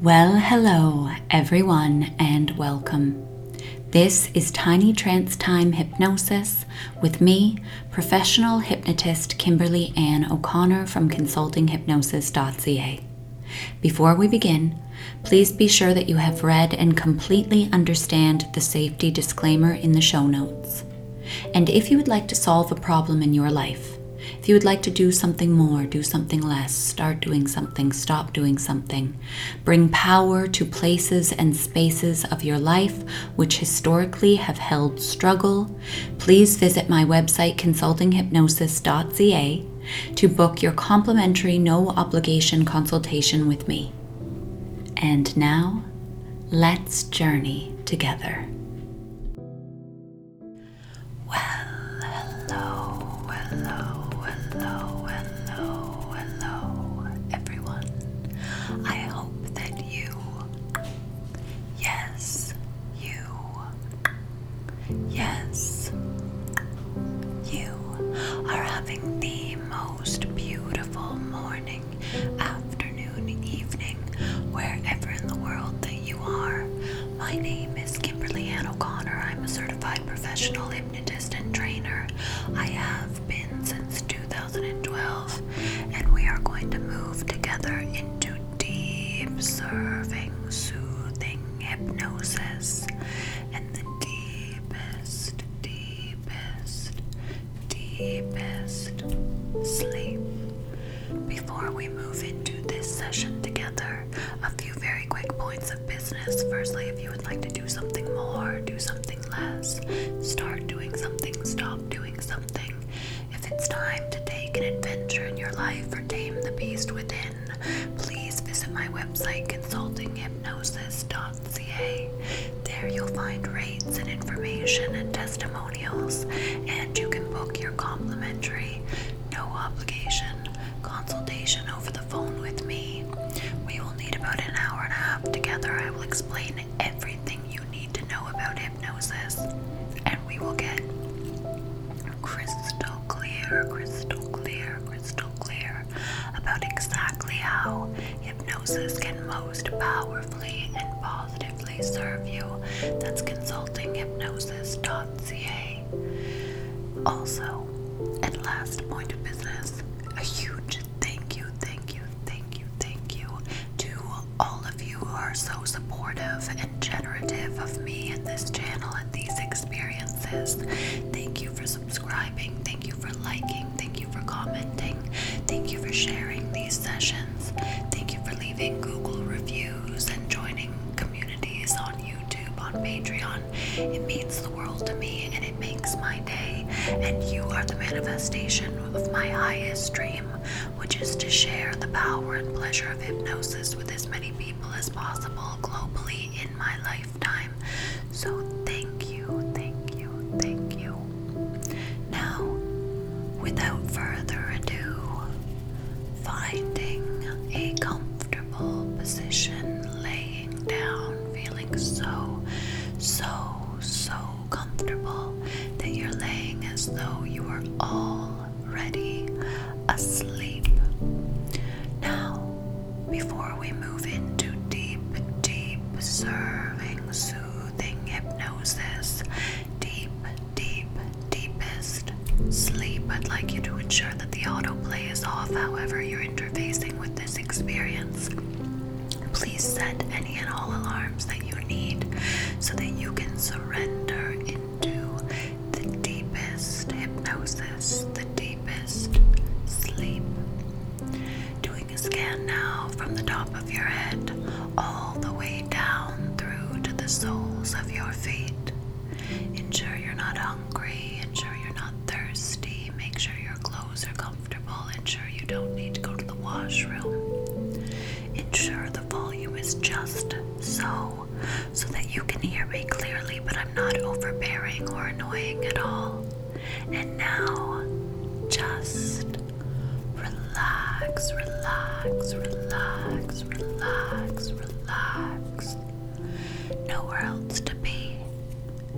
Well, hello, everyone, and welcome. This is Tiny Trance Time Hypnosis with me, professional hypnotist Kimberly Ann O'Connor from consultinghypnosis.ca. Before we begin, please be sure that you have read and completely understand the safety disclaimer in the show notes. And if you would like to solve a problem in your life, if you would like to do something more, do something less, start doing something, stop doing something. Bring power to places and spaces of your life which historically have held struggle. Please visit my website consultinghypnosis.ca to book your complimentary no obligation consultation with me. And now, let's journey together. Well, hello, hello, hello, hello, hello, everyone. I hope that you, yes, you, yes, you are having the most beautiful morning, afternoon, evening, wherever in the world that you are. My name is Kimberly Ann O'Connor. I'm a certified professional hypnotist and trainer. I have been since 2012, and we are going to move together into deep, serving, soothing hypnosis and the deepest, deepest, deepest sleep. Before we move into this session together, a few very quick points of business. Firstly, if you would like to do something more, do something less, start doing something, stop doing something. If it's time to take an adventure in your life or tame the beast within, please visit my website consultinghypnosis.ca. There you'll find rates and information and testimonials, and you can book your complimentary no obligation consultation over the phone with me. We will need about an hour and a half together. I will explain everything you need to know about hypnosis, and we will get crystal clear, crystal clear, crystal clear about exactly how hypnosis can most powerfully and positively serve you. That's consultinghypnosis.ca. Also, and last point of business, a huge thank you, thank you, thank you, thank you to all of you who are so supportive and generative of me and this channel and these experiences. Thank you for subscribing, thank you for liking, thank you for commenting, thank you for sharing these sessions, thank you for leaving Google reviews and joining communities on YouTube, on Patreon. It means the world to me and it makes my day. And you are the manifestation of my highest dream, which is to share the power and pleasure of hypnosis with as many people as possible globally in my lifetime. So thank you, thank you, thank you. Now, without further ado, Finding a comfortable position, laying down, feeling so, so, so comfortable that you're laying as though you are already asleep. Now, before we move into deep, deep serving, soothing hypnosis, deep, deep, deepest sleep. I'd like you to ensure that the autoplay is off, however, you're interfacing with this experience. Please set any and all alarms that you need so that you can surrender into the deepest hypnosis, the deepest sleep. Doing a scan now from the top of your head all the way down through to the soles of your feet. Ensure you're not hungry, ensure you're not thirsty, make sure your clothes are comfortable, ensure you don't need to go to the washroom. Ensure the volume is just so, so that you can hear me clearly, but I'm not overbearing or annoying at all. And now, just relax, relax, relax, relax, relax. Nowhere else to be,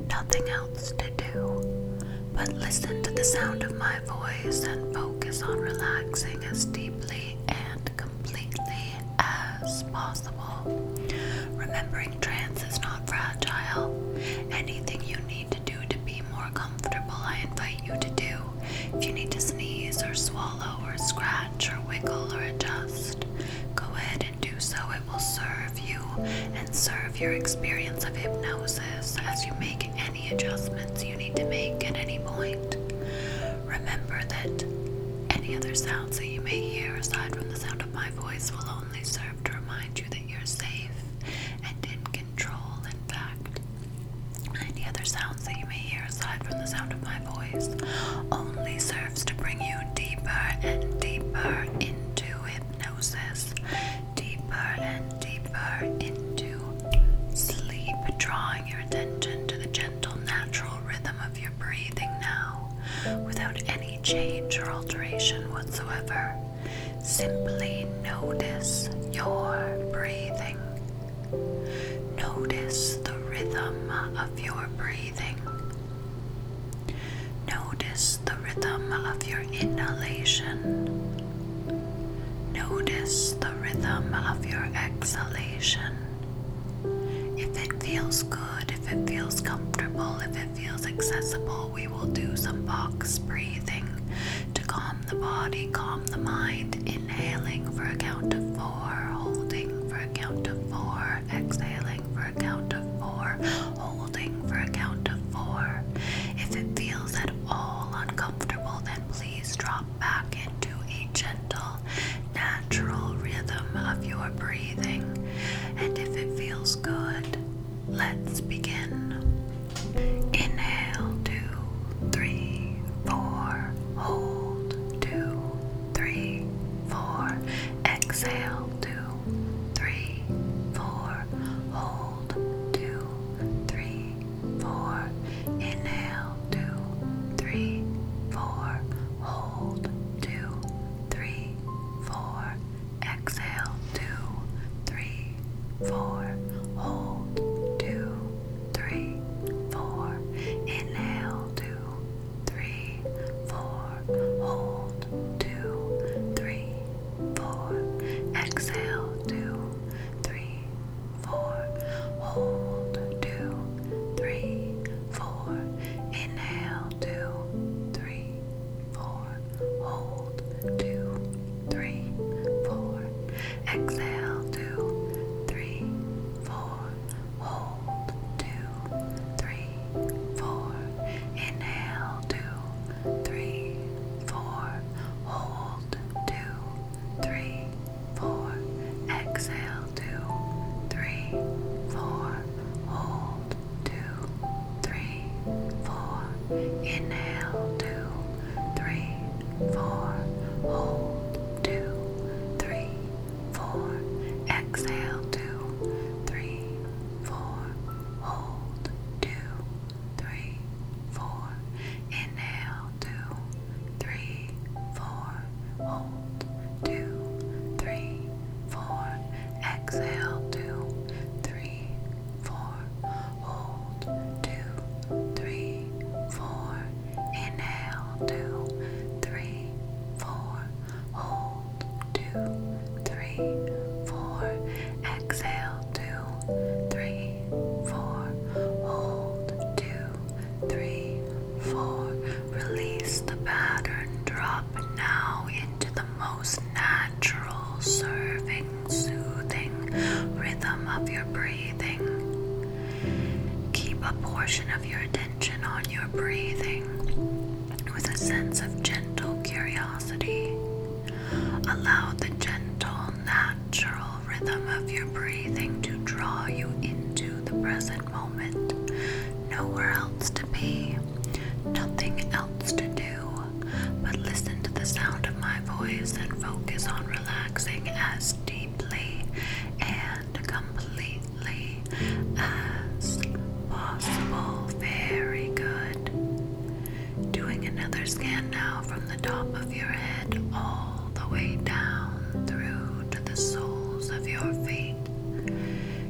nothing else to do, but listen to the sound of my voice and focus on relaxing as deeply and completely as possible. Remembering trance is not fragile. Anything you need to do to be more comfortable, I invite you to do. If you need to sneeze or swallow or scratch or wiggle or adjust, go ahead and do so. It will serve you and serve your experience of hypnosis as you make any adjustments you need to make at any point. Remember that any other sounds that you may hear aside from the sound of my voice will only serve to remind you that you're safe and in control, in fact. Any other sounds that you may hear aside from the sound of my voice only serves to bring you deeper and deeper into hypnosis, deeper and deeper into sleep, drawing your attention to the gentle, natural rhythm of your breathing now without any change or alteration whatsoever. Simply notice your breathing. Notice the rhythm of your breathing. Notice the rhythm of your inhalation. Notice the rhythm of your exhalation. If it feels good, if it feels comfortable, if it feels accessible, we will do some box breathing to calm the body, calm the mind. Inhaling for a count of four, holding for a count of four, exhaling for a count of four, holding for a count of four. If it feels at all uncomfortable, then please drop back into a gentle, natural rhythm of your breathing. And if it feels good, let's begin. Inhale, two, three, four, hold, two, three, four. Exhale, two, three, four. Hold, two, three, four. Inhale, two, three, four. Hold, two, three, four. Exhale, two, three, four. Hold, two, three, four. Inhale, two, three, four. Hold, two, three, four. Exhale, two, three, four. Hold, two, three, four. Inhale, two, three, four. Hold, two, three, four. Exhale, two, three, four hold, two, three, four, inhale, two, three, four, hold, two, three, four, exhale, two, three, four, hold, two, three, four, inhale, two, three, four, hold, two, three, four, exhale, two, three, four, hold, two, three, four, inhale, two, three, four, hold, two, three, four, exhale, two, three, four, hold, two, three, four, Inhale, two, three, four. Hold, two, three, four. Exhale, two, three, four. Hold, two, three, four. Release the pattern. Drop now into the most natural, serving, soothing rhythm of your breathing. Keep a portion of your attention on your breathing with a sense of gentle curiosity. Allow the gentle, natural rhythm of your breathing to draw you into the present moment. Nowhere else to be, nothing else to do, but listen to the sound of my voice and focus on relaxing as deeply and and completely as possible. Very good. Doing another scan now from the top of your head all the way down through to the soles of your feet.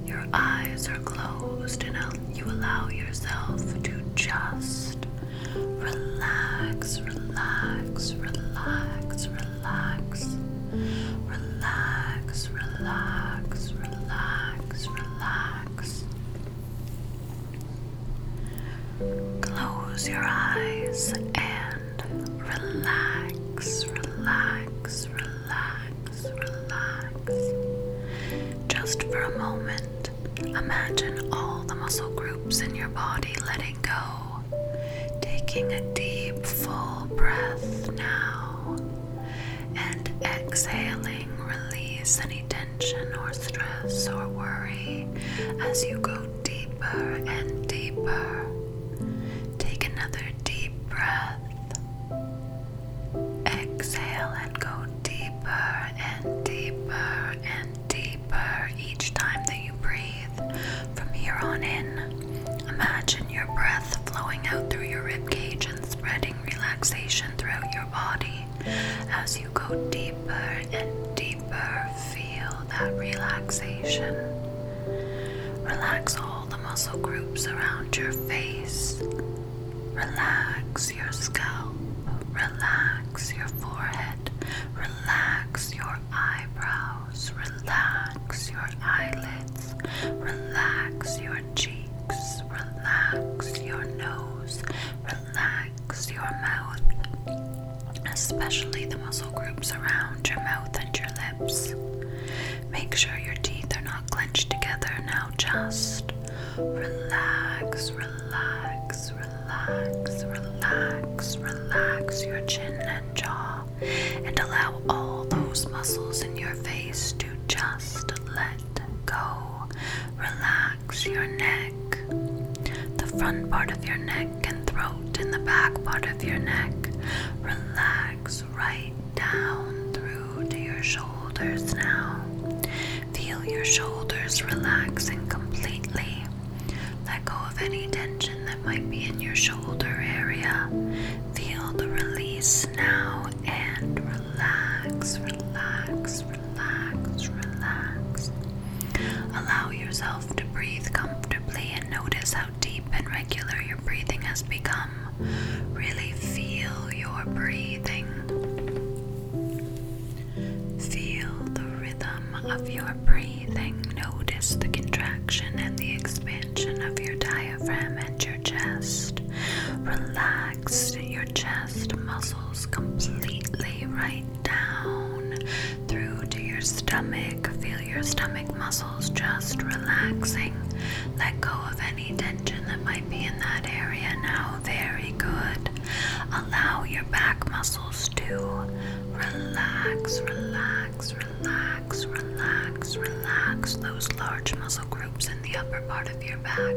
Your eyes are closed and you allow yourself to just relax, relax, relax, relax relax, relax, relax, relax, relax. Close your eyes and relax, relax, relax, relax. Just for a moment, imagine all the muscle groups in your body letting go taking a deep, full breath now and exhaling, release any tension or stress or worry as you go deeper and deeper. Take another deep breath. Exhale and go deeper and deeper and deeper each time that you breathe. From here on in, imagine your breath flowing out through your rib cage and spreading relaxation throughout your body. As you go deeper and deeper, feel that relaxation. Relax all the muscle groups around your face. Relax your scalp. Relax your forehead. Relax your eyebrows relax your eyelids, relax your cheeks, relax your nose, relax your mouth, especially the muscle groups around your mouth and your lips. Make sure your teeth are not clenched together. Now just relax, relax, relax, relax, relax your chin and jaw and allow all those muscles in your face to just let go. Relax your neck, the front part of your neck and throat, and the back part of your neck. Relax right down through to your shoulders now. Feel your shoulders relaxing completely. Let go of any tension there that might be in your shoulder area. Feel the release now and relax, relax, relax, relax. Allow yourself to breathe comfortably and notice how deep and regular your breathing has become. Really feel your breathing. Feel the rhythm of your breathing breathing, notice the contraction and the expansion of your diaphragm and your chest. Relax your chest muscles completely right down through to your stomach. Feel your stomach muscles just relaxing. Let go of any tension that might be in that area now. Very good. Allow your back muscles to relax, relax, Relax, relax, relax, those large muscle groups in the upper part of your back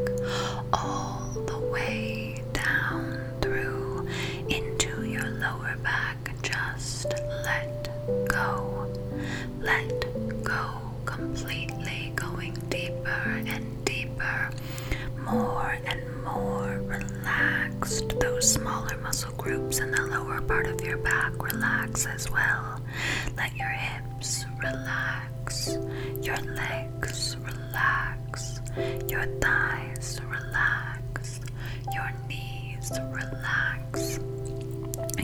all the way down through into your lower back. Just let go. Let go completely, going deeper and deeper, more and more relaxed. Those smaller muscles groups in the lower part of your back relax as well. Let your hips relax, your legs relax, your thighs relax, your knees relax,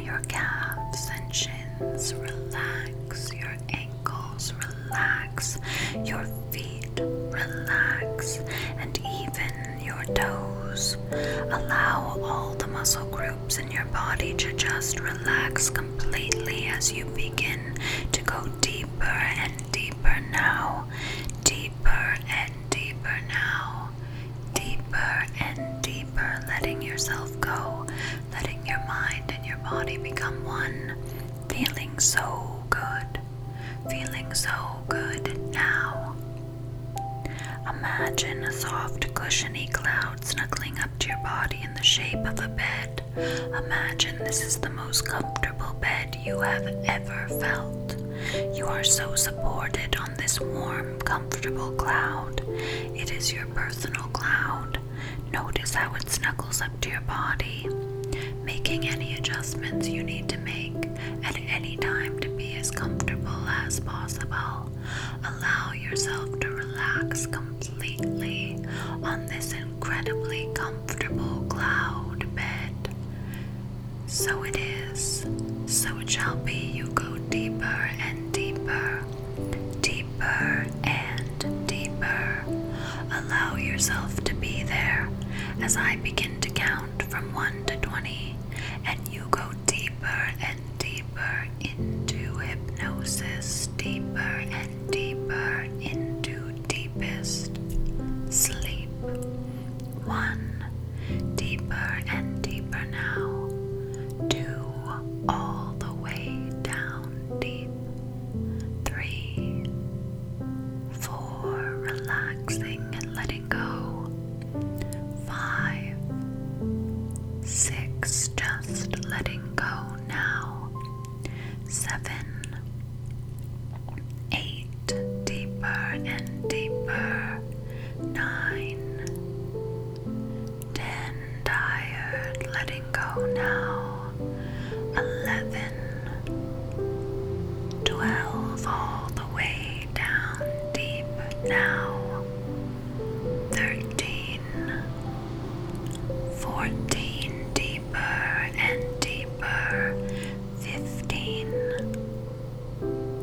your calves and shins relax, your ankles relax, your feet relax, and even your toes. Allow all the muscle groups in your body to just relax completely as you begin to go deeper and deeper now. Deeper and deeper now. Deeper and deeper, letting yourself go, letting your mind and your body become one. Feeling so good. Feeling so good now. Imagine a soft, cushiony cloud snuggling up to your body in the shape of a bed. Imagine this is the most comfortable bed you have ever felt. You are so supported on this warm, comfortable cloud. It is your personal cloud. Notice how it snuggles up to your body, making any adjustments you need to make any time to be as comfortable as possible. Allow yourself to relax completely on this incredibly comfortable cloud bed. So it is, so it shall be. You go deeper and deeper, deeper and deeper. Allow yourself to be there as I begin to count from 1 to 20, and you go deeper deeper and deeper into hypnosis, deeper and deeper into deepest sleep. One, deeper and deeper now. Two, all the way down deep. Three, four, relaxing and letting letting go. Five, six, just letting go now. Seven, eight, deeper and deeper. Nine, ten, tired, letting go now. Eleven, twelve, all the way down deep now. Thirteen, fourteen, deeper and deeper. Fifteen,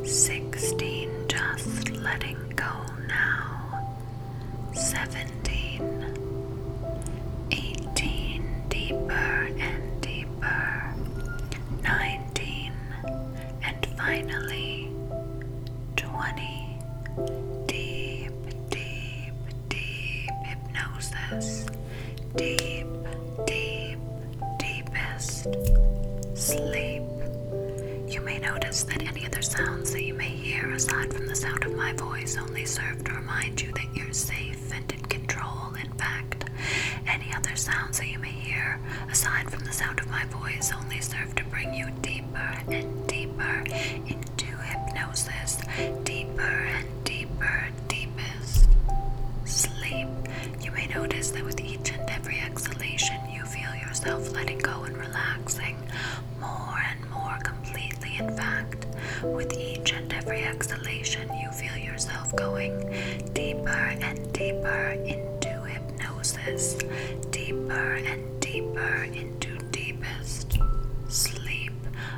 sixteen, just letting go now. Seventeen, eighteen, deeper and deeper. Nineteen and finally 20 deep, deep, deep hypnosis, deep, deep, deepest sleep. You may notice that any other sounds that you may hear aside from the sound of my voice only serve to remind you that you're safe and in control. In fact, any other sounds that you may hear aside from the sound of my voice, only serve to bring you deeper and deeper into hypnosis, deeper and deeper, deepest sleep. You may notice that with each and every exhalation, you feel yourself letting go and relaxing more and more completely. In fact, with each and every exhalation, you feel yourself going deeper and deeper into hypnosis hypnosis deeper and deeper into deepest sleep.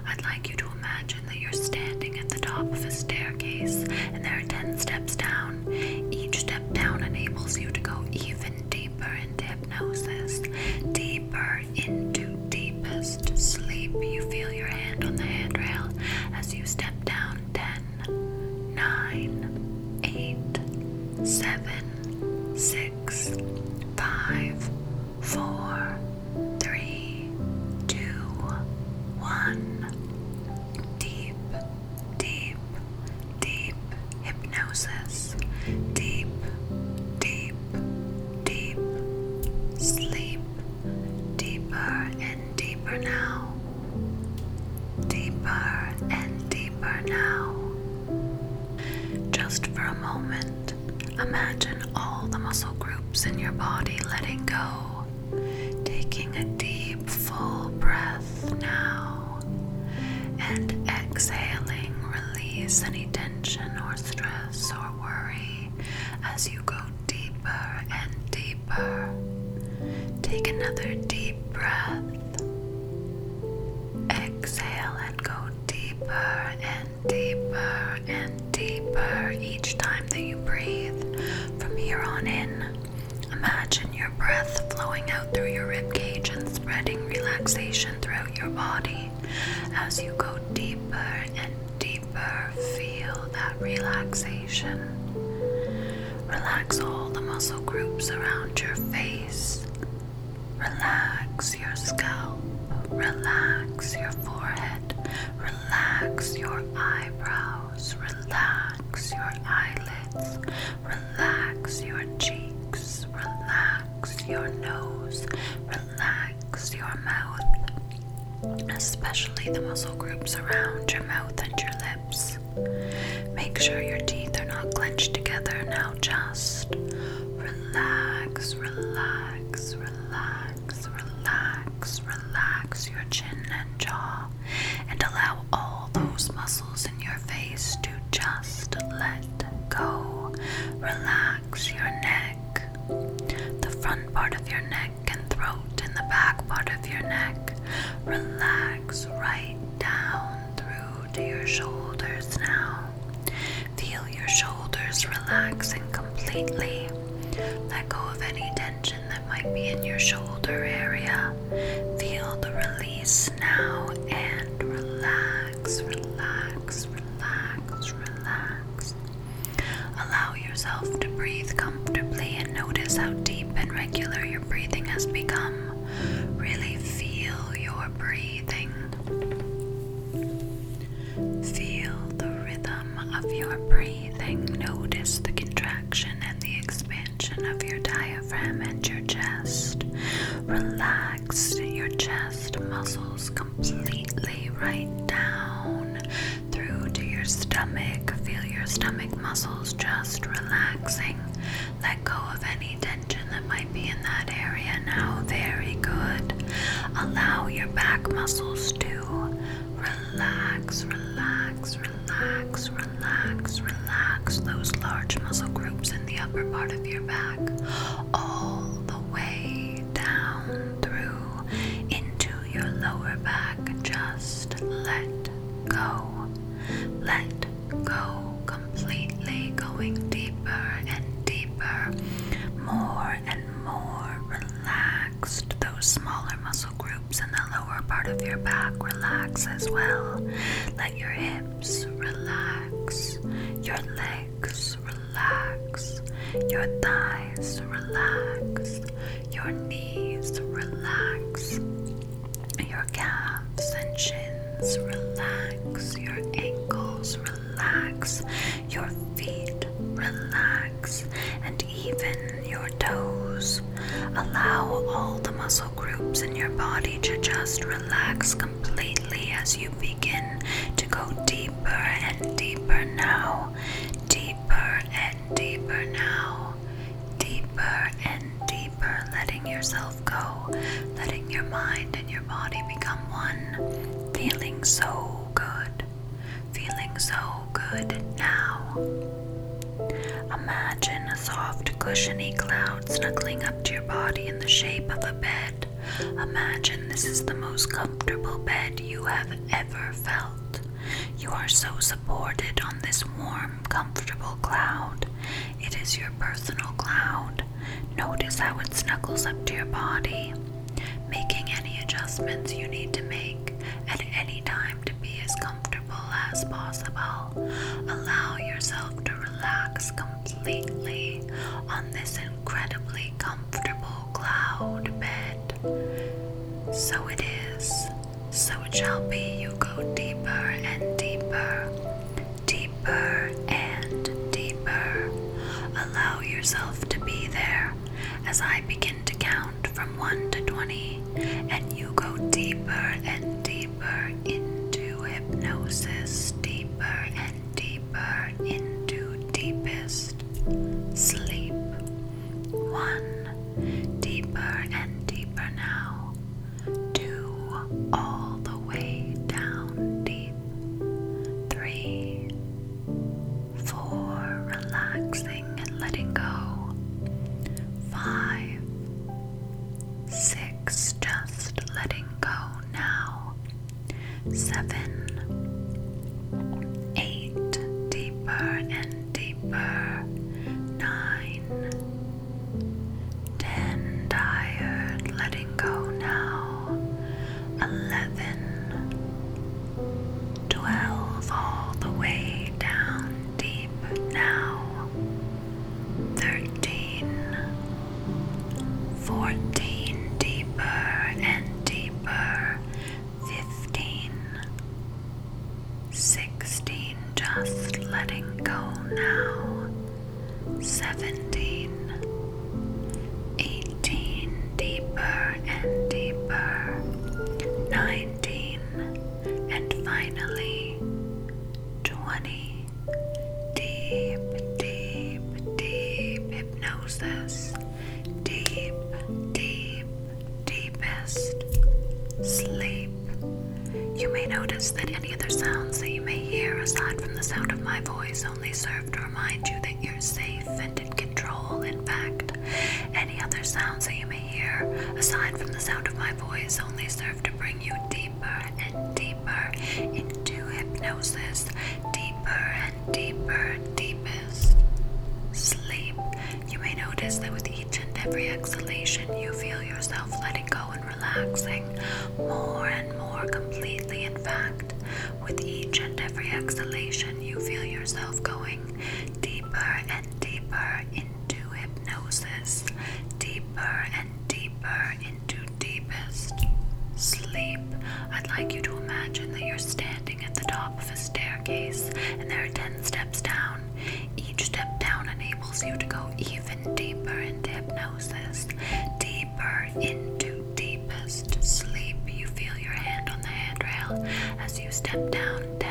I'd like you to imagine that you're standing at the top of a staircase and there are 10 steps down. Each step down enables you to go even deeper into hypnosis, deeper into deepest sleep. You feel your hand on the handrail as you step down 10, one, nine, eight, seven, six, five, four, three, two, one. Deep, deep, deep hypnosis. Deep, deep, deep sleep. Deeper and deeper now. Deeper and deeper now. Just for a moment, imagine all the muscle groups in your body letting go, taking a deep, full breath now, and exhaling, release any tension or stress or worry as you go deeper and deeper. Take another deep breath Exhale and go deeper and deeper and deeper each time that you breathe. From here on in, imagine your breath flowing out through your rib cage and spreading relaxation throughout your body. As you go deeper and deeper, feel that relaxation. Relax all the muscle groups around your face. Relax your scalp. Relax your forehead. Relax your eyebrows. Relax your eyelids. Relax your cheeks. Relax your nose. Relax your mouth. Especially the muscle groups around your mouth and your lips. Make sure your teeth are not clenched together. Now just relax, relax, relax, relax, relax your chin and jaw, and allow all those muscles in your face to just let go. Relax your neck, the front part of your neck and throat, and the back part of your neck. Relax right down through to your shoulders now. Feel your shoulders relaxing completely. Let go of any tension that might be in your shoulder area. Feel the release now and relax, relax, relax, relax. Allow yourself to breathe comfortably and notice how deep and regular your breathing has become. Really feel your breathing. Feel the rhythm of your breathing. Notice the contraction and the expansion of your diaphragm and your chest. Relax your chest muscles completely right down through to your stomach. Feel your stomach muscles just relaxing. Let go of any tension that might be in that area now. Very good. Allow your back muscles to relax, relax, relax, relax, relax those large muscle groups in the upper part of your back all the way down through into your lower back. Just let go. Let go completely, going deeper and deeper, more and more relaxed. Those smaller muscle groups in the lower part of your back relax as well. Let your hips relax, your legs relax, your thighs relax, your knees relax your calves and shins relax, your ankles relax, your feet relax, and even your toes. Allow all the muscle groups in your body to just relax completely as you begin to go deeper and deeper now, deeper and deeper now deeper and deeper, letting yourself go, letting your mind and your body become one, feeling so good, feeling so good now. Imagine a soft, cushiony cloud snuggling up to your body in the shape of a bed. Imagine this is the most comfortable bed you have ever felt. You are so supported on this warm, comfortable cloud, it is your personal cloud. Notice how it snuggles up to your body, making any adjustments you need to make at any time to be as comfortable as possible. Allow yourself to relax completely on this incredibly comfortable cloud bed. So it is. So it shall be you go deeper and deeper, deeper and deeper. Allow yourself to be there as I begin to count from 1 to 20, and you go deeper and deeper into hypnosis, deeper and deeper into deepest sleep. One, deeper and deeper now. Two all the way down deep. Three. Four. Relaxing and letting go. Five. Six. Just letting go now. Seven. Eight. Deeper and deeper. Nine. Ten tired, letting go now. Eleven. Twelve, all the way down deep now. Thirteen. Fourteen, deeper and deeper. Fifteen. Sixteen, just letting go now. Seventeen, eighteen, deeper and deeper. Nineteen, and finally twenty. Deep, deep, deep hypnosis. Deep, deep, deepest sleep. You may notice that any other sounds that you may hear aside from the sound of my voice only serve to remind you that you're safe and in control. In fact, any other sounds that you may hear aside from the sound of my voice only serve to bring you deeper and deeper into hypnosis, deeper and deeper, deepest sleep. You may notice that with each and every exhalation, you feel yourself letting go and relaxing more and more completely, in fact. With each and every exhalation, you feel yourself going deeper and deeper into hypnosis, deeper and deeper into deepest sleep. I'd like you to imagine that you're standing at the top of a staircase and there are 10 steps down. Each step down enables you to go even deeper into hypnosis, deeper into deepest sleep. You feel your hand on the handrail as you step down 10,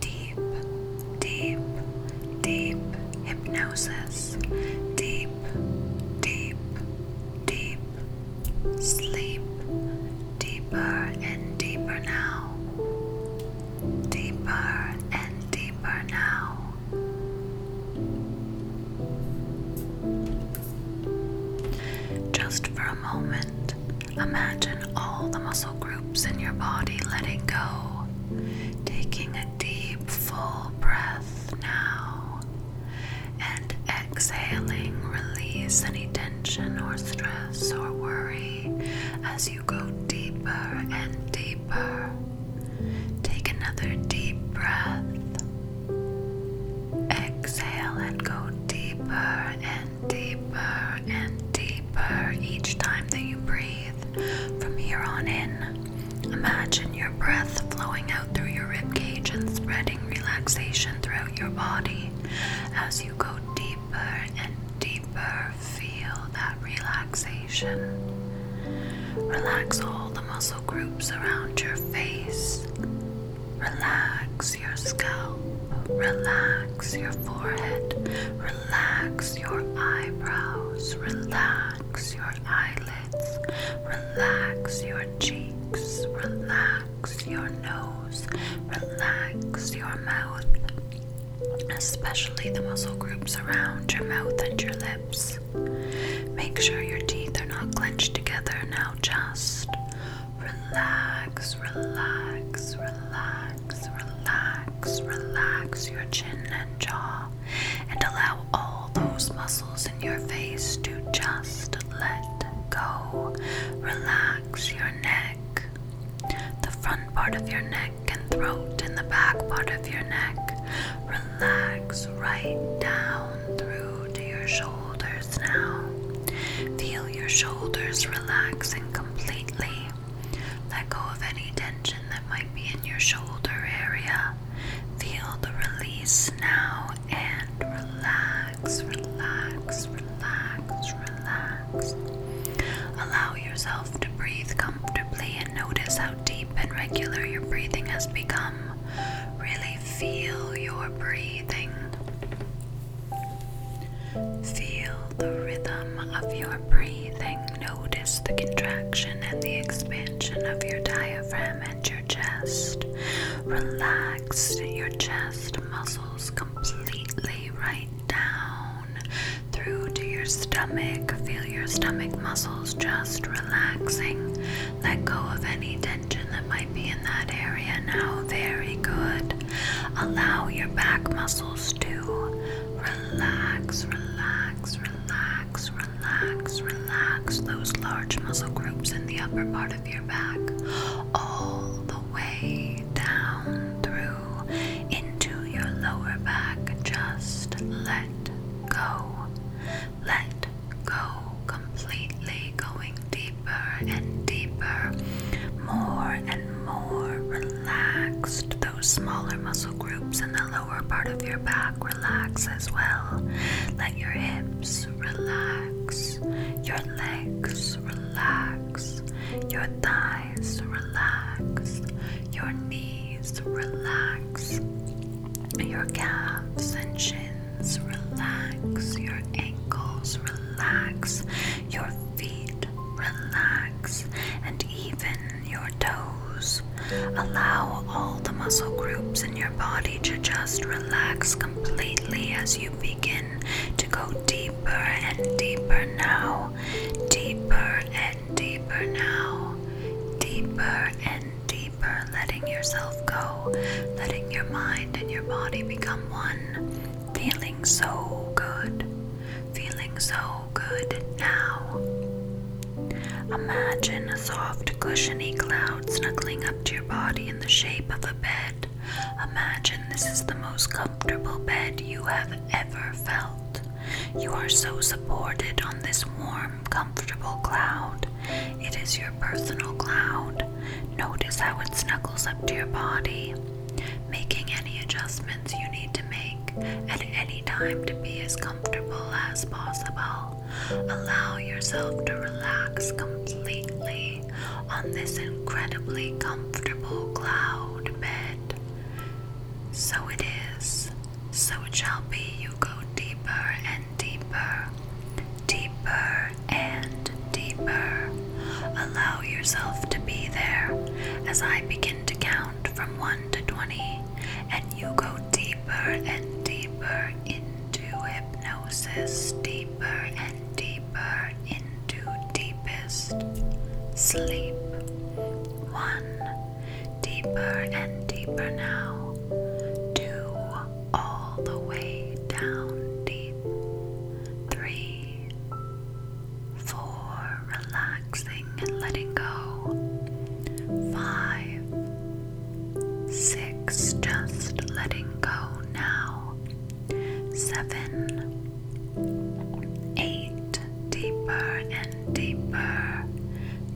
Deep deep, deep hypnosis, deep, deep, deep sleep, deeper and deeper now, deeper and deeper now. Just for a moment, imagine all the muscle groups in your body letting go, taking a deep, full breath now and exhaling, release any tension or stress or worry as you go deeper and deeper. Take another deep breath. Exhale and go deeper and deeper and deeper each time that you breathe from here on in. Imagine your breath flowing out through your rib cage and spreading relaxation throughout your body. As you go deeper and deeper, feel that relaxation. Relax all the muscle groups around your face. Relax your scalp. Relax your forehead. Relax your eyebrows. Relax Relax your eyelids, relax your cheeks, relax your nose, relax your mouth, especially the muscle groups around your mouth and your lips. Make sure your teeth are not clenched together. Now just relax, relax, relax, relax, relax your chin and jaw and allow all those muscles in your face to just let go. Relax your neck, the front part of your neck and throat, and the back part of your neck. Relax right down through to your shoulders now. Feel your shoulders relax and completely. Let go of any tension that might be in your shoulder area. Feel the release now and relax, relax, relax, relax. Allow yourself to breathe comfortably and notice how deep and regular your breathing has become. Really feel your breathing. Feel the rhythm of your breathing. Notice the contraction and the expansion of your diaphragm and your chest. Relax your chest muscles completely right down through to your stomach. Feel your stomach muscles just relaxing. Let go of any tension that might be in that area now. Very good. Allow your back muscles to relax, relax, relax relax, relax, relax those large muscle groups in the upper part of your back all the way down through into your lower back. Just let go. Let go completely, going deeper and deeper, more and more relaxed those smaller muscle groups in the lower part of your back relax as well. Let your hips relax, your legs relax, your thighs relax, your knees relax, your calves and shins relax, your ankles relax, your feet relax, and even your toes. Allow all the muscle groups in your body to just relax completely as you begin to go deeper and deeper now, deeper and deeper now, deeper and deeper, letting yourself go, letting your mind and your body become one, feeling so good, feeling so so good now. Imagine soft, cushiony cloud snuggling up to your body in the shape of a bed. Imagine this is the most comfortable bed you have ever felt. You are so supported on this warm, comfortable cloud. It is your personal cloud. Notice how it snuggles up to your body. Making any adjustments you need to make at any time to be as comfortable as possible. Allow yourself to relax completely on this incredibly comfortable cloud bed. So it is, so it shall be. You go deeper and deeper, deeper and deeper. Allow yourself to be there as I begin to count from 1 to 20 and you go deeper and deeper into hypnosis, deeper and deeper into deepest sleep. One, deeper and deeper now. Two, all the way down deep. Three, four, relaxing letting go. Five, six, just letting go now. Seven, eight, deeper and deeper.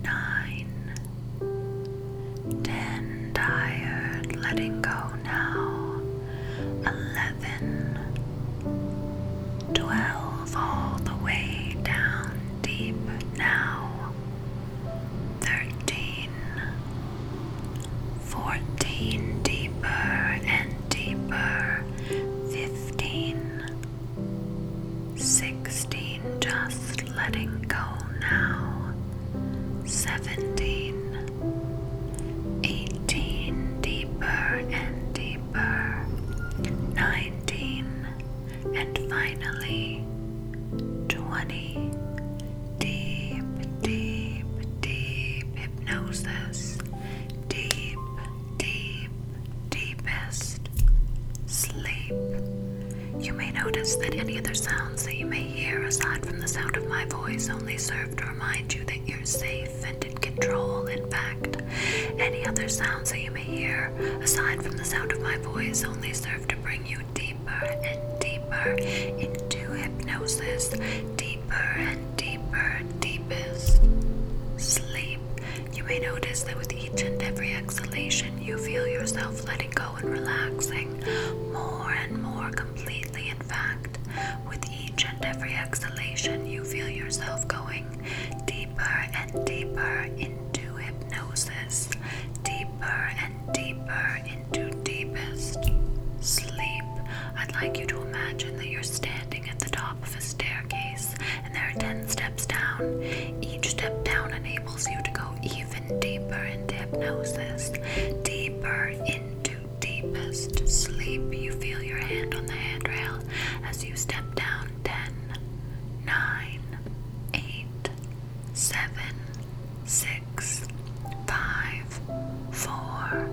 Nine, ten, tired, letting go now. Eleven, twelve, all the way down deep now. Thirteen, fourteen, deeper and deeper. Fifteen, sixteen, just letting go now. Seventeen, eighteen, deeper and deeper. Nineteen and finally 20 deep, deep, deep hypnosis, deep, deep, deepest sleep. You may notice that any other sounds that you may hear aside from the sound of my voice only serve to remind you that you're safe and in control. In fact, any other sounds that you may hear, aside from the sound of my voice, only serve to bring you deeper and deeper into hypnosis, deeper and deeper, deepest sleep. You may notice that with each and every exhalation, you feel yourself letting go and relaxing more and more completely. In fact, with each and every exhalation, you feel yourself going deeper and deeper into hypnosis, deeper and deeper into deepest sleep. I'd like you to imagine that you're standing at the top of a staircase and there are 10 steps down. Each step down enables you to go even deeper into hypnosis, deeper into deepest sleep. You feel your hand on the handrail as you step down ten, nine, eight, seven, six, five, four,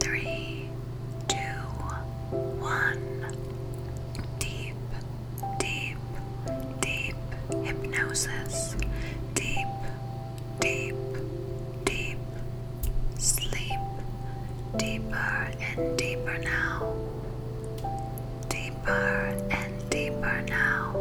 three, two, one. Deep, deep, deep hypnosis. Deep, deep, deep sleep. Deeper and deeper now deeper and deeper now.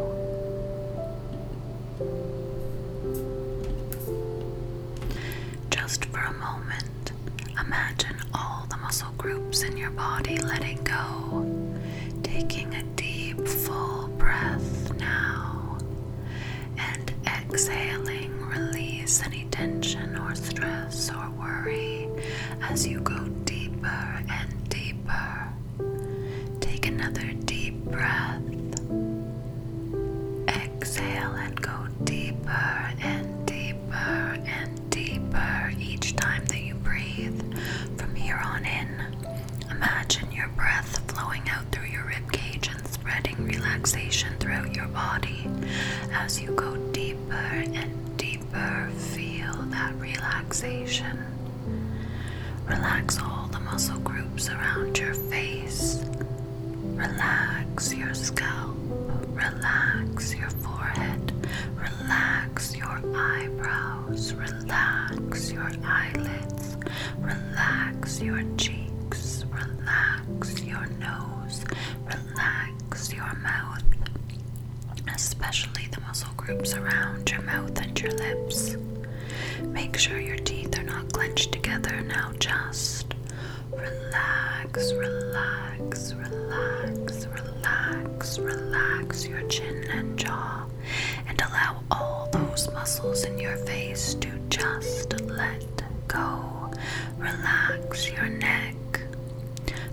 Just for a moment, imagine all the muscle groups in your body letting go, taking a deep, full breath now, and exhaling, release any tension or stress or worry as you go deeper and deeper. Take another deep breath. Exhale and go deeper and deeper and deeper each time that you breathe. From here on in, imagine your breath flowing out through your rib cage and spreading relaxation throughout your body as you go deeper and deeper feel that relaxation. Relax all the muscle groups around your face. Relax your scalp. Relax your forehead. Relax your eyebrows. Relax your eyelids. Relax your cheeks. Relax your nose. Relax relax your mouth, especially the muscle groups around your mouth and your lips. Make sure your teeth are not clenched together. Now just relax, relax, relax, relax, relax your chin and jaw, and allow all those muscles in your face to just let go. Relax your neck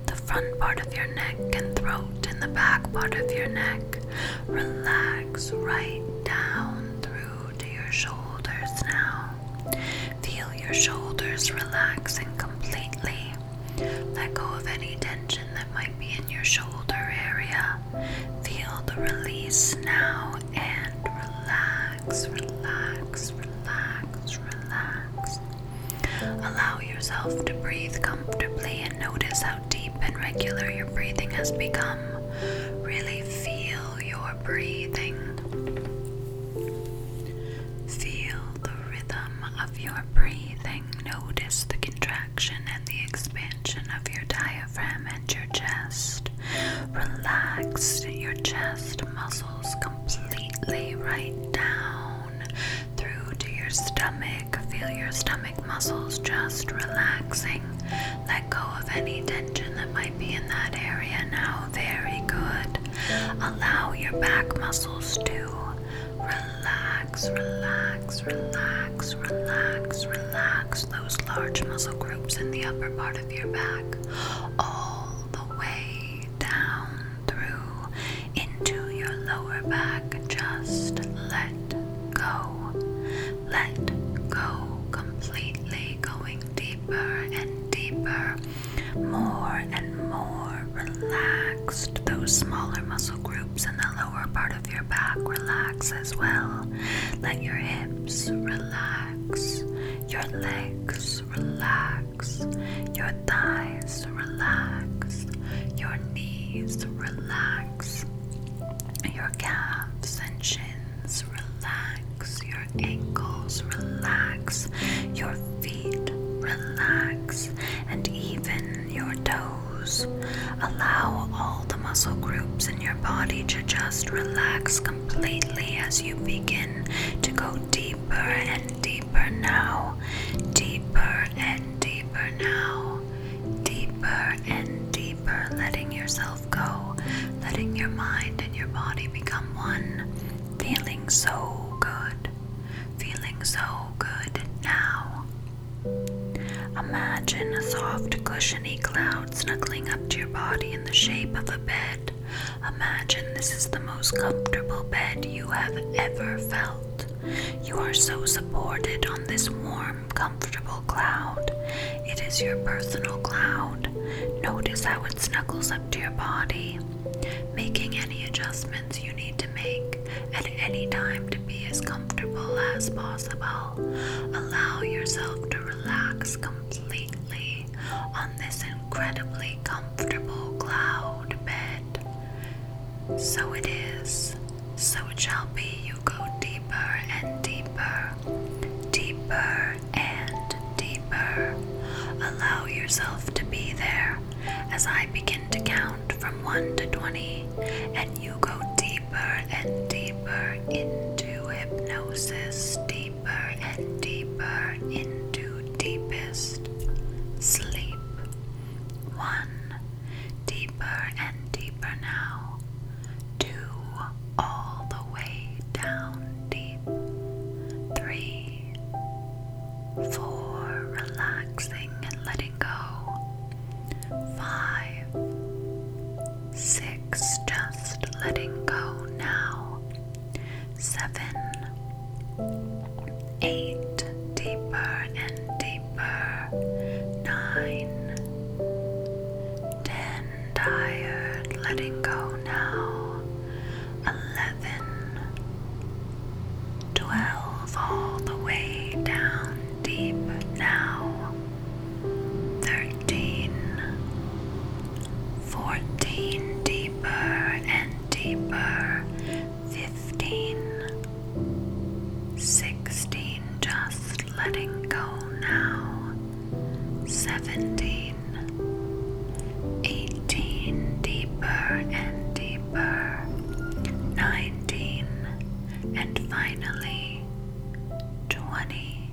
the front part of your neck and throat, and the back part of your neck. Relax right down through to your shoulders now. Feel your shoulders relaxing completely. Let go of any tension that might be in your shoulder area. Feel the release now and relax, relax, relax, relax. Allow yourself to breathe comfortably and notice how deep and regular your breathing has become. Really feel your breathing. Feel the rhythm of your breathing. Notice the contraction and the expansion of your diaphragm and your chest. Relax your chest muscles completely right now through to your stomach. Feel your stomach muscles just relaxing. Let go of any tension that might be in that area now. Very good. Allow your back muscles to relax, relax, relax, relax, relax those large muscle groups in the upper part of your back all the way down through into your lower back. Just let go. Let go completely, going deeper and deeper, more and more relaxed. Those smaller muscle groups in the lower part of your back relax as well. Let your hips relax, your legs relax, your thighs relax, your knees relax, your calves and shins relax, your ankles relax, your feet relax, and even your toes. Allow all the muscle groups in your body to just relax completely as you begin to go deeper and deeper deeper now, deeper and deeper now, deeper and deeper, letting yourself go, letting your mind and your body become one, feeling so good, feeling so good now. Imagine a soft, cushiony cloud snuggling up to your body in the shape of a bed. Imagine this is the most comfortable bed you have ever felt. You are so supported on this warm, comfortable cloud. It is your personal cloud. Notice how it snuggles up to your body, making any adjustments you need to make at any time to be as comfortable as possible. Allow yourself to relax completely on this incredibly comfortable cloud bed. So it is, so it shall be. You go deeper and deeper, deeper and deeper. Allow yourself to be there as I begin to count from 1 to 20, and you go deeper and deeper into hypnosis, deeper and deeper into deepest sleep. One, Deeper and deeper now. Two all the way down deep. Three. Four. Relaxing and letting go. Five. Six. Just letting go now. Seven. Eight, deeper and deeper. Nine. Ten tired, letting go now. Eleven. Twelve all the way down deep now. Thirteen, fourteen, deeper and deeper. 15, 16, just letting go now, 17, 18, deeper and deeper, 19, and finally 20,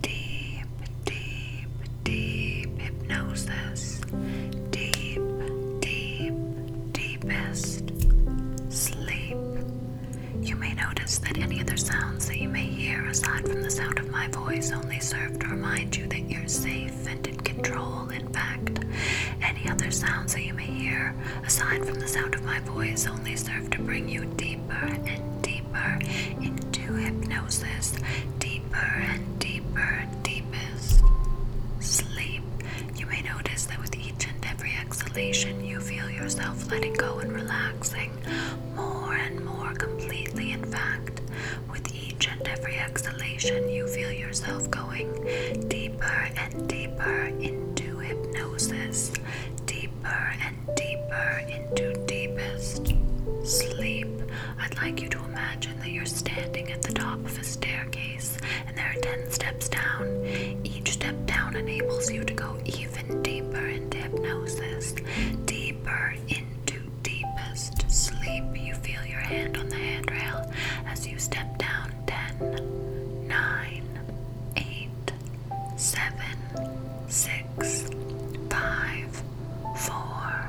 deep, deep, deep hypnosis, deep, deep deepest sleep. You may notice that any other sounds that you may hear aside from the sound of my voice only serve to remind you that you're safe and in control. In fact, any other sounds that you may hear aside from the sound of my voice only serve to bring you deeper and deeper into hypnosis, deeper and deeper, deepest sleep. You may notice that with each and every exhalation, you feel yourself letting go and relaxing more and more completely. In fact, with each and every exhalation, you feel yourself going deeper and deeper into hypnosis, deeper and deeper into deepest sleep. I'd like you to imagine that you're standing at the top of a staircase and there are 10 steps down. Each step down enables you to go even deeper into hypnosis, deeper into deepest sleep. You feel your hand on the handrail as you step down Ten, nine, eight, seven, six, five, four,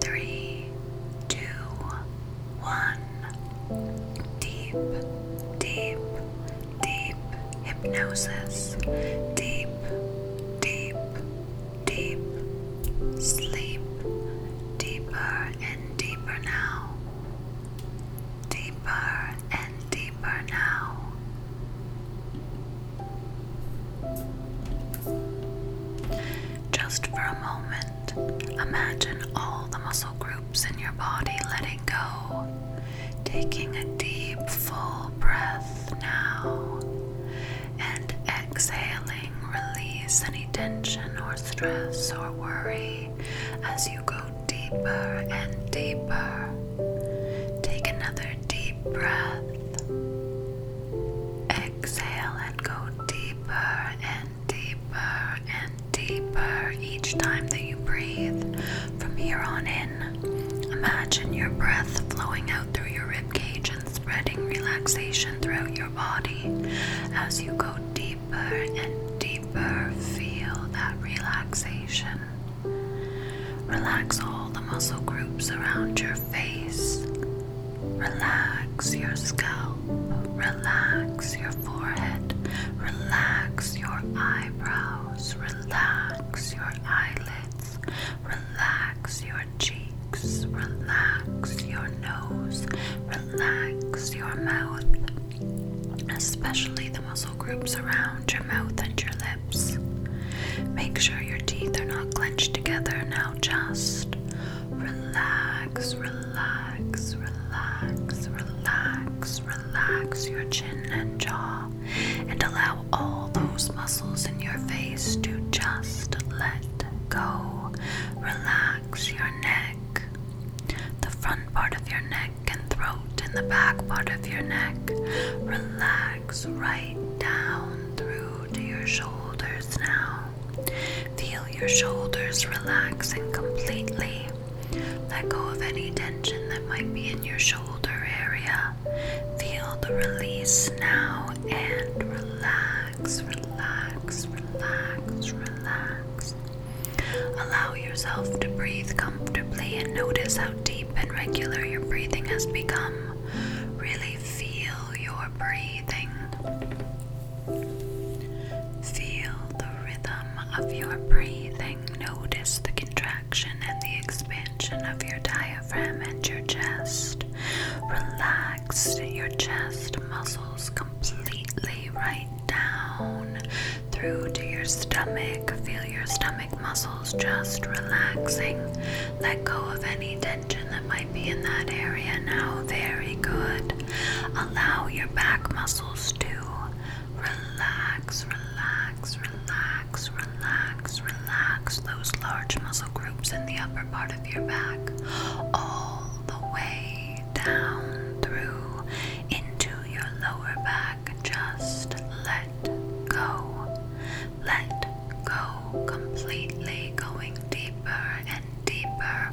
three, two, one deep, deep, deep hypnosis, deep, deep, deep sleep, deeper and deeper now, deeper and deeper now. Just for a moment, Imagine all the muscle groups in your body letting go, taking a deep, full breath now, and exhaling, release any tension or stress or worry as you go deeper and deeper. Take another deep breath. Exhale and go deeper and deeper and deeper each time that you breathe. From here on in, imagine your breath flowing out through your ribcage and spreading relaxation throughout your body. As you go deeper and deeper, feel that relaxation. Relax all the muscle groups around your face. Relax your scalp relax your forehead, relax your eyebrows, relax your eyelids, relax your cheeks, relax your nose, relax your mouth, especially the muscle groups around your mouth and your lips. Make sure your teeth are not clenched together now, just Relax, relax, relax, relax, relax your chin and jaw, and allow all those muscles in your face to just let go. Relax your neck, the front part of your neck and throat, and the back part of your neck. Relax right down through to your shoulders now. Feel your shoulders relax and completely. Let go of any tension that might be in your shoulder area. Feel the release now and relax, relax, relax, relax. Allow yourself to breathe comfortably and notice how deep and regular your breathing has become. Really feel your breathing. Feel the rhythm of your breathing. Notice the contraction and the expansion of your diaphragm and your chest. Relax your chest muscles completely right down through to your stomach. Feel your stomach muscles just relaxing. Let go of any tension that might be in that area now. Very good. Allow your back muscles to relax, relax, relax, relax, relax those large muscle groups in the upper part of your back all the way down through into your lower back. Just let go, let go completely, going deeper and deeper,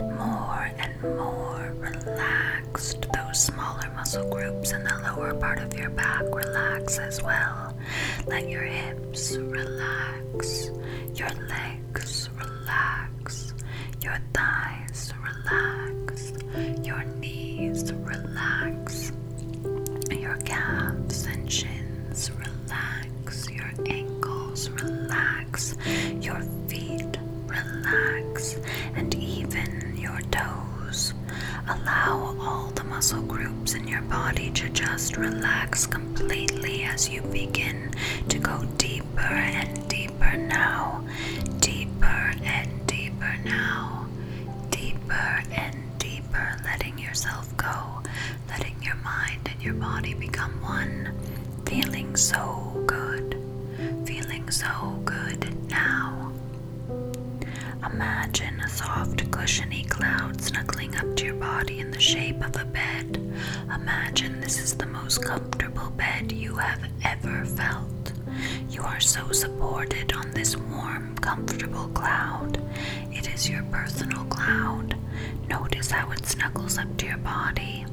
more and more relaxed. Those smaller muscle groups in the lower part of your back relax as well. Let your hips relax, your legs relax, your thighs relax, your knees relax, your calves and shins relax, your ankles relax your feet, relax, and even your toes. Allow all the muscle groups in your body to just relax completely as you begin to go deeper and deeper now, deeper and deeper now, deeper and deeper, letting yourself go, letting your mind and your body become one. Feeling so good, feeling so good now. Imagine a soft, cushiony cloud snuggling up to your body in the shape of a bed. Imagine this is the most comfortable bed you have ever felt. You are so supported on this warm, comfortable cloud. It is your personal cloud. Notice how it snuggles up to your body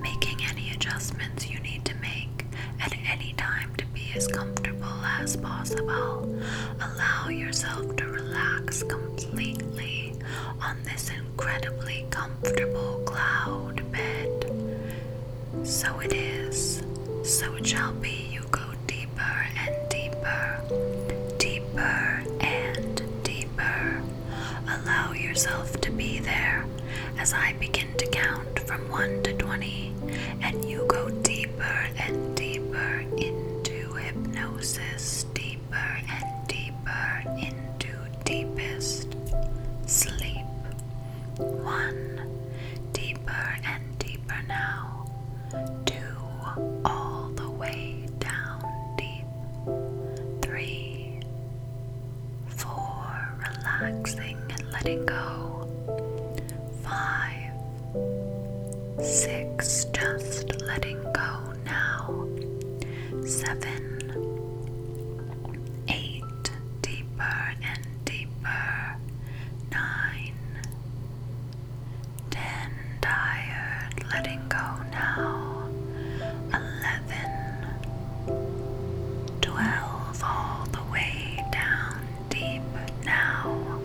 making any adjustments you need to make at any time to be as comfortable as possible. Allow yourself to relax completely on this incredibly comfortable cloud bed. So it is, so it shall be. You go deeper and deeper, deeper and deeper Allow yourself to be there as I begin to count from 1 to 20, and you go deeper and deeper into hypnosis, deeper and deeper into deepest sleep. 1. Deeper and deeper now. 2. All the way down deep. 3 four, relaxing and letting go, five, six, just letting go now, seven, eight, deeper and deeper, nine, ten, tired, letting go now eleven, twelve, all the way down deep now,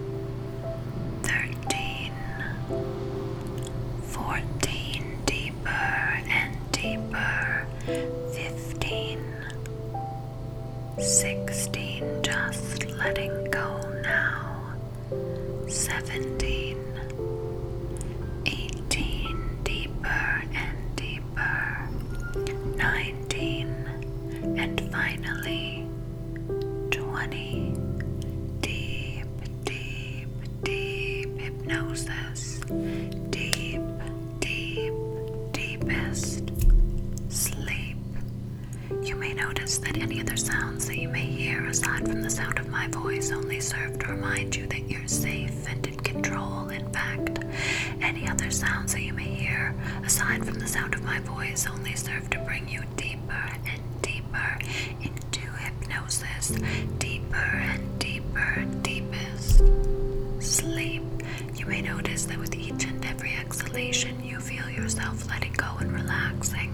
thirteen, fourteen, deeper and deeper, fifteen, sixteen, just letting go now, seventeen. 18 deeper and deeper deeper. 19 and finally 20. Deep, deep, deep hypnosis. Deep, deep, deepest sleep. You may notice that any other sounds that you may hear aside from the sound of my voice only serve to remind you that you're safe and control. In fact, any other sounds that you may hear, aside from the sound of my voice, only serve to bring you deeper and deeper into hypnosis, deeper and deeper, deepest sleep. You may notice that with each and every exhalation, you feel yourself letting go and relaxing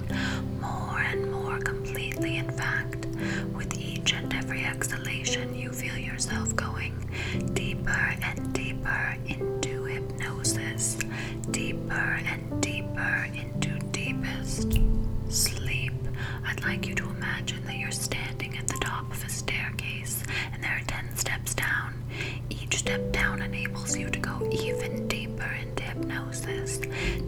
more and more completely. In fact, with each and every exhalation, you feel yourself going deeper and deeper into hypnosis, deeper and deeper into deepest sleep. I'd like you to imagine that you're standing at the top of a staircase and there are 10 steps down. Each step down enables you to go even deeper into hypnosis,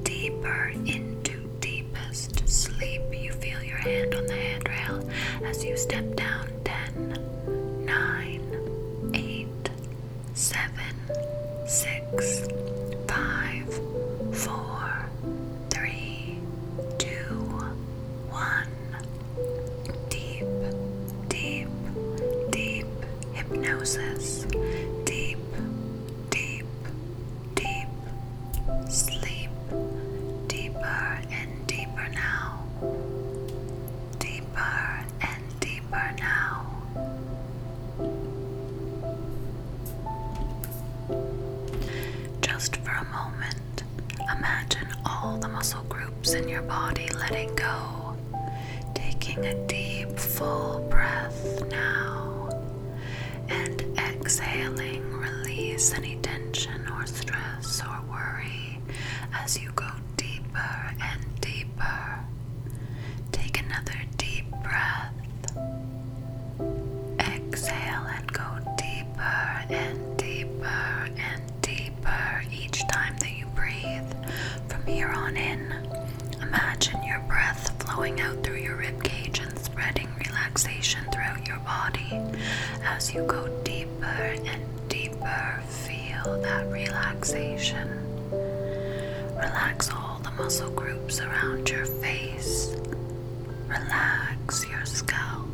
deeper into deepest sleep, you feel your hand on the handrail as you step down Ten, nine, eight, seven, six, five, four, three, two, one. Deep, deep, deep hypnosis. Deep, deep, deep sleep, deeper and deeper now, deeper and deeper now. Just for a moment, imagine all the muscle groups in your body letting go, taking a deep, full breath now and exhaling, release any tension or stress or worry as you go deeper and deeper. Take another deep breath. Exhale and go deeper and deeper and deeper each time that you breathe. From here on in, imagine your breath flowing out through your rib cage and spreading relaxation throughout your body. As you go deeper and deeper, feel that relaxation. Relax all the muscle groups around your face. Relax your scalp.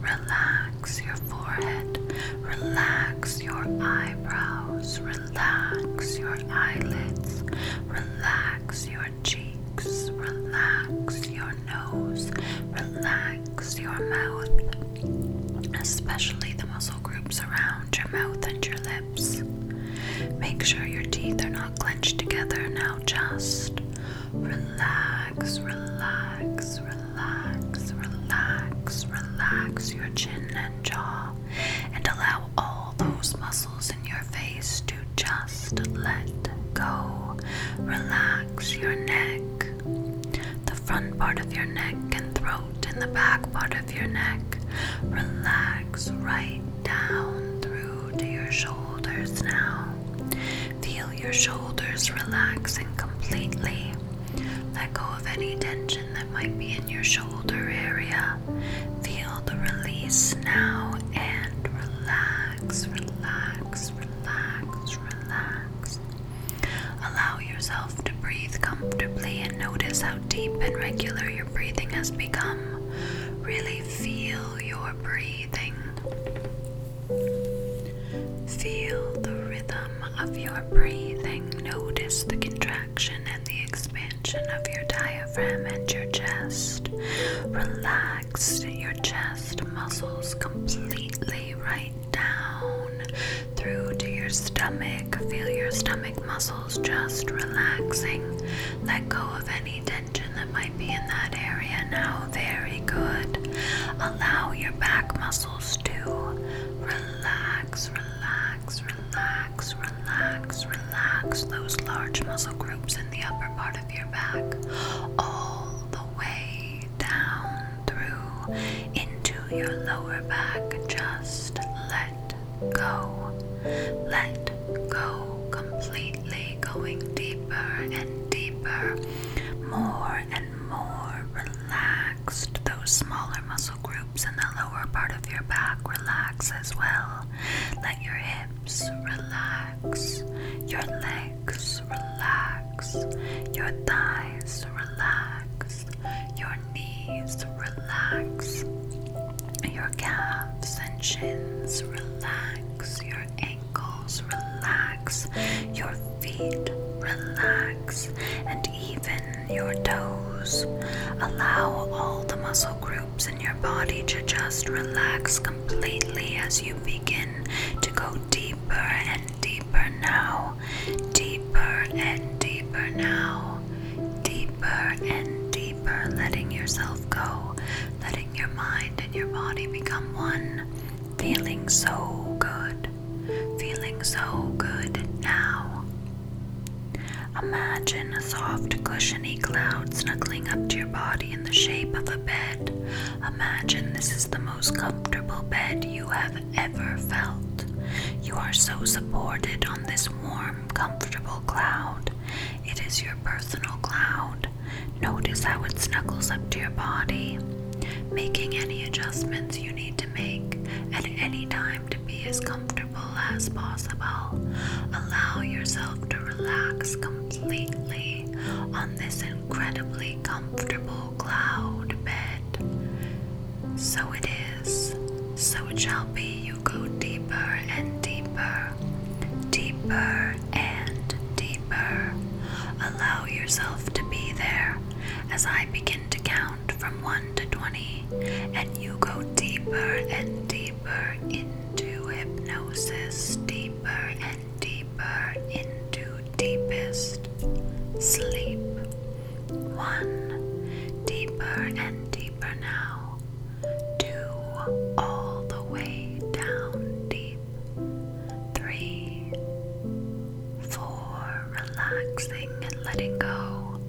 Relax your forehead. Relax your eyebrows. Relax your eyelids. Relax your cheeks, relax your nose, relax your mouth, especially the muscle groups around your mouth and your lips. Make sure your teeth are not clenched together now, just relax, relax, relax, relax, relax your chin and jaw, and allow all those muscles in your face to just let go. Relax your neck, the front part of your neck and throat, and the back part of your neck. Relax right down through to your shoulders now. Feel your shoulders relaxing completely. Let go of any tension that might be in your shoulder area. Feel the release now and relax, relax, relax, relax, Allow yourself to breathe comfortably and notice how deep and regular your breathing has become. Really feel your breathing. Feel the rhythm of your breathing. Notice the contraction and the expansion of your diaphragm and your chest. Relax your chest muscles completely right down through to your stomach. Feel your stomach muscles just relaxing. Let go of any tension that might be in that area now. Very good. Allow your back muscles to relax, relax, relax, relax, relax. Those large muscle groups in the upper part of your back all the way down through into your lower back. Just let go. Let go completely, going deeper and deeper, more and more relaxed. Those smaller muscle groups in the lower part of your back relax as well. Let your hips relax, your legs relax, your thighs relax, your knees relax, your calves and shins relax, your ankles relax, your feet relax, and even your toes. Allow all the muscle groups in your body to just relax completely as you begin to go deeper and deeper now, deeper and deeper now, deeper and deeper, letting yourself go, letting your mind and your body become one, feeling so good, feeling so good now. Imagine a soft, cushiony cloud snuggling up to your body in the shape of a bed, Imagine this is the most comfortable bed you have ever felt. You are so supported on this warm, comfortable cloud. It is your personal cloud. Notice how it snuggles up to your body, making any adjustments you need to make at any time to be as comfortable as possible. Allow yourself to relax completely on this incredibly comfortable cloud bed. So it is, so it shall be. You go deeper and deeper, deeper and deeper. Allow yourself to be there as I begin to count from 1 to 20, and you go deeper and deeper into hypnosis, deeper and deeper into deepest sleep. One, deeper and deeper now. Two, all the way down deep. Three, four, relaxing and letting go.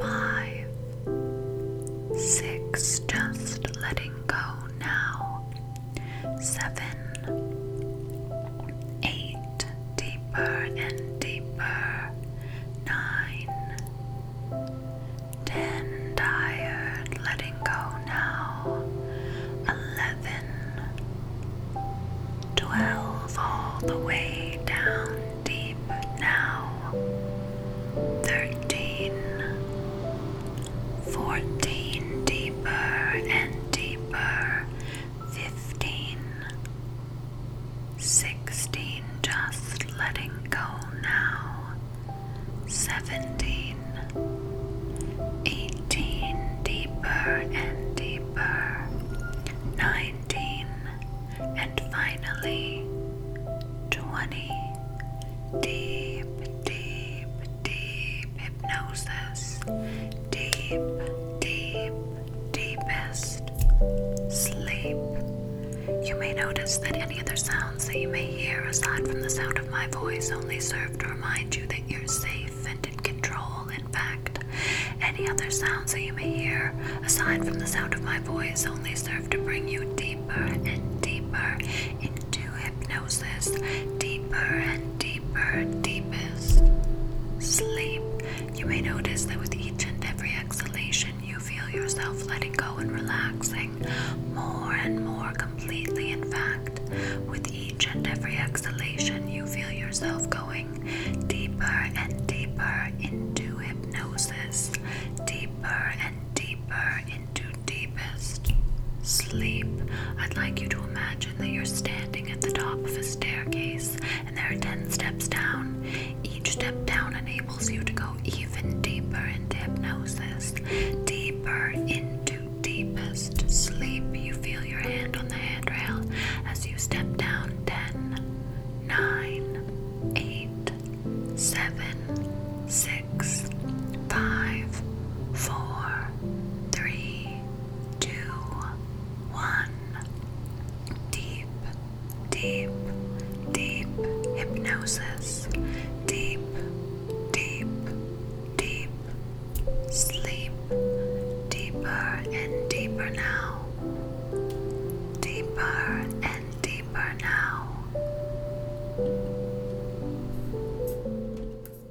Five, six, just letting go now seven, eight, deeper and deeper, nine, ten, tired, letting go now, eleven, twelve, all the way down deep now, thirteen fourteen deeper and deeper, Fifteen. Sixteen, just letting go now, Seventeen. Eighteen deeper and deeper, nineteen, and finally twenty, deep, deep, deep hypnosis, deep, deep, deepest sleep. You may notice that any other sounds that you may hear aside from the sound of my voice only serve to remind you that you're safe and in control. In fact, any other sounds that you may hear aside from the sound of my voice only serve to bring you deeper and deeper into hypnosis, deeper and deeper, deepest sleep. You may notice that with each and every exhalation, you feel yourself letting go and relaxing more and more completely. In fact, with each and every exhalation, you feel yourself going deeper and deeper into hypnosis, deeper and deeper into into deepest sleep. I'd like you to imagine that you're standing at the top of a staircase and there are 10 steps down. Each step down enables you to go even deeper into hypnosis, deeper into deepest sleep. You feel your hand on the handrail as you step down ten, nine, eight, seven, six, five, four three, two, one. Deep, deep, deep hypnosis. Deep, deep, deep sleep. Deeper and deeper now. Deeper and deeper now.